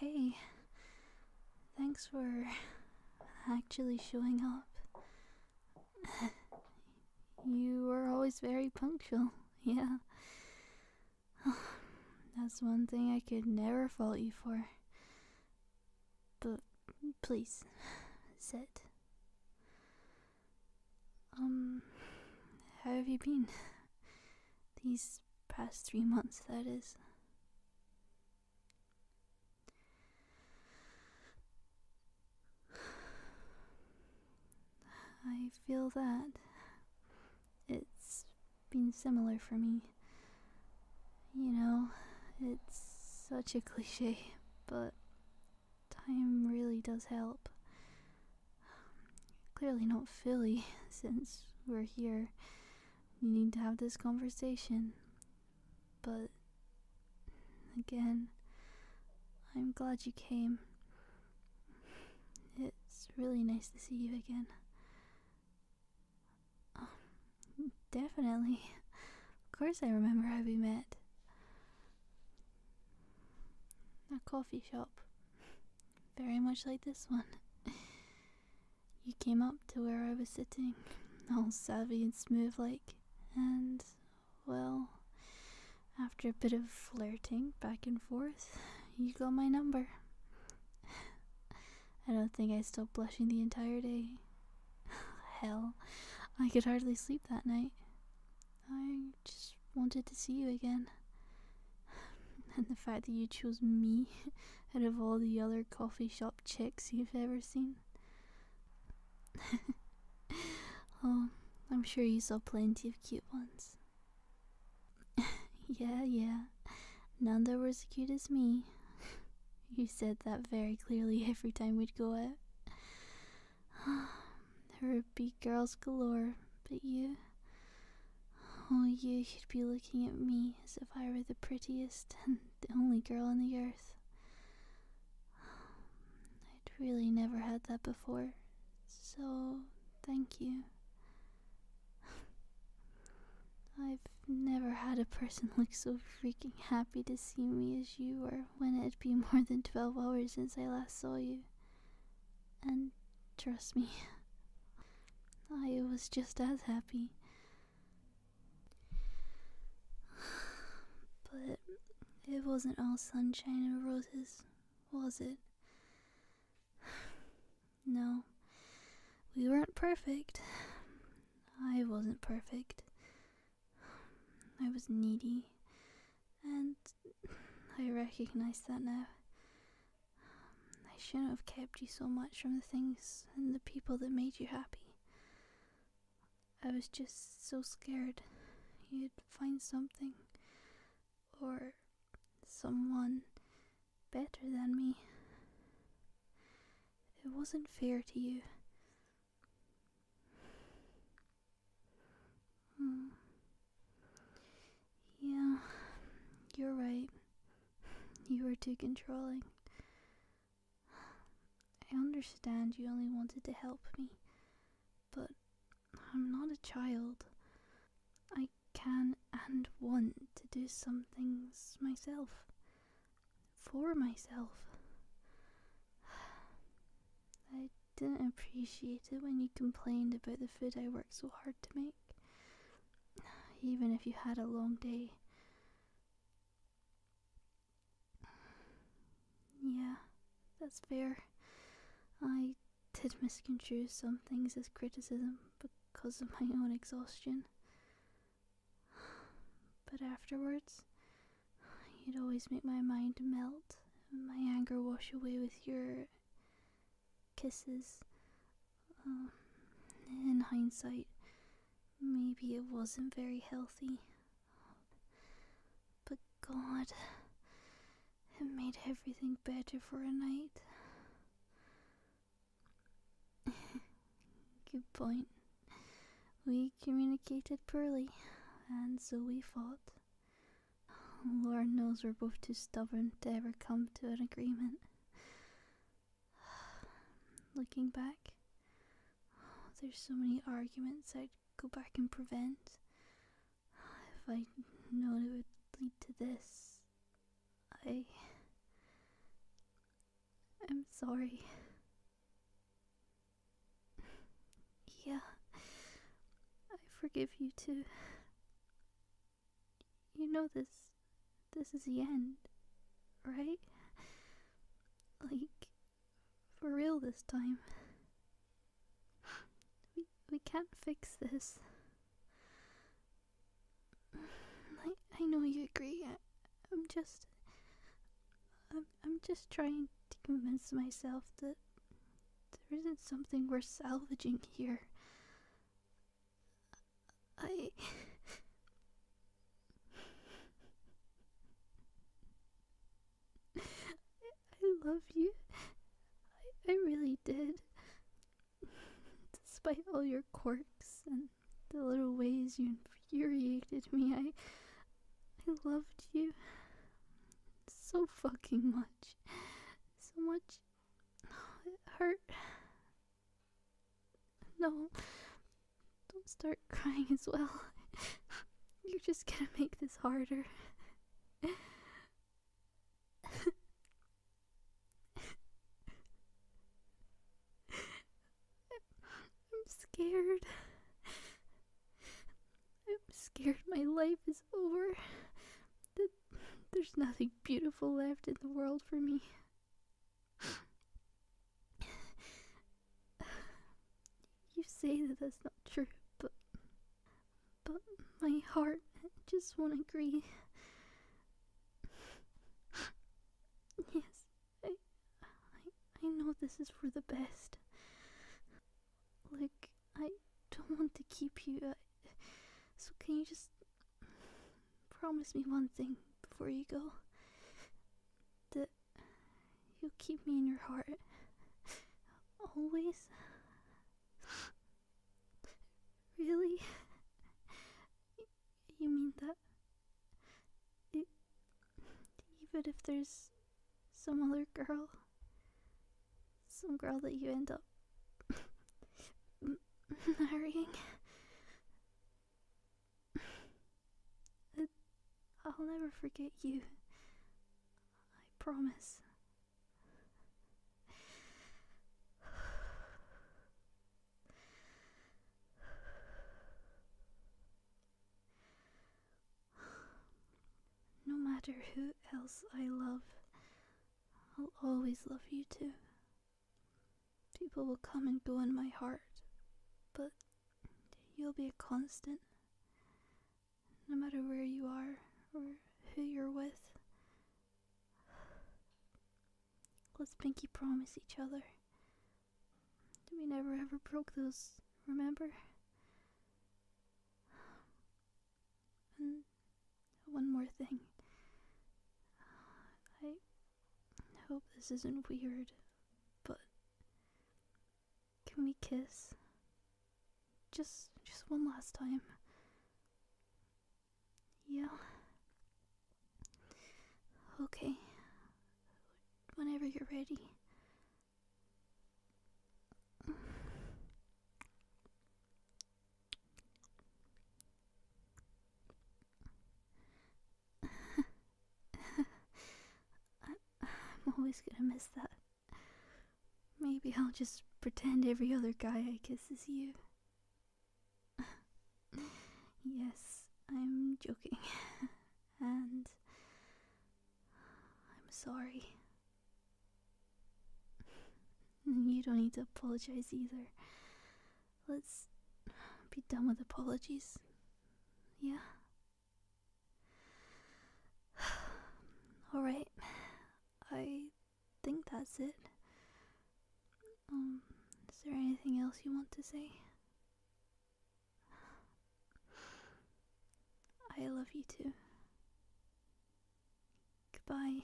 Hey, thanks for actually showing up. you were always very punctual, yeah. That's one thing I could never fault you for. But please, sit. Um, how have you been? These past three months, that is. I feel that. It's been similar for me. You know, it's such a cliche, but time really does help. Clearly not Philly, since we're here. You need to have this conversation. But again, I'm glad you came. It's really nice to see you again. Um, definitely. Of course, I remember how we met. A coffee shop. Very much like this one. you came up to where I was sitting, all savvy and smooth like, and, well, after a bit of flirting back and forth, you got my number. I don't think I stopped blushing the entire day. Hell, I could hardly sleep that night. I just wanted to see you again. And the fact that you chose me out of all the other coffee shop chicks you've ever seen. oh, I'm sure you saw plenty of cute ones. yeah, yeah. None that were as cute as me. you said that very clearly every time we'd go out. there would be girls galore, but you. Oh, you you—you'd be looking at me as if I were the prettiest and the only girl on the earth. I'd really never had that before, so thank you. I've never had a person look so freaking happy to see me as you were when it would be more than 12 hours since I last saw you. And trust me, I was just as happy. But it wasn't all sunshine and roses, was it? No, we weren't perfect. I wasn't perfect. I was needy and I recognize that now. I shouldn't have kept you so much from the things and the people that made you happy. I was just so scared you'd find something or someone better than me. It wasn't fair to you. Hmm. Yeah, you're right. You were too controlling. I understand you only wanted to help me, but I'm not a child. I can and want to do some things myself. For myself. I didn't appreciate it when you complained about the food I worked so hard to make. Even if you had a long day. Yeah, that's fair. I did misconstrue some things as criticism because of my own exhaustion. But afterwards, You'd always make my mind melt, my anger wash away with your kisses. Uh, in hindsight, maybe it wasn't very healthy. But God, it made everything better for a night. Good point. We communicated poorly, and so we fought. Lord knows we're both too stubborn to ever come to an agreement. Looking back, there's so many arguments I'd go back and prevent. If I'd known it would lead to this, I. I'm sorry. Yeah. I forgive you too. You know this. This is the end, right? Like, for real this time. We, we can't fix this. I, I know you agree. I, I'm just. I'm, I'm just trying to convince myself that there isn't something worth salvaging here. I. I love you. I, I really did. Despite all your quirks and the little ways you infuriated me, I. I loved you so fucking much. So much. No, it hurt. No. Don't start crying as well. You're just gonna make this harder. I'm scared. I'm scared my life is over. That there's nothing beautiful left in the world for me. You say that that's not true, but but my heart just won't agree. Yes, I, I I know this is for the best. Like I don't want to keep you, uh, so can you just promise me one thing before you go? That you'll keep me in your heart. Always? Really? You mean that? even if there's some other girl. Some girl that you end up marrying. I'll never forget you. I promise. No matter who else I love, I'll always love you too. People will come and go in my heart, but you'll be a constant. No matter where you are or who you're with. Let's pinky promise each other. We never ever broke those, remember? And one more thing. I hope this isn't weird, but can we kiss? Just just one last time. Yeah. Okay. Whenever you're ready. I'm always gonna miss that. Maybe I'll just pretend every other guy I kiss is you. yes, I'm joking. and I'm sorry. you don't need to apologize either. Let's be done with apologies. Yeah? Alright. I think that's it. Um, is there anything else you want to say? I love you too. Goodbye.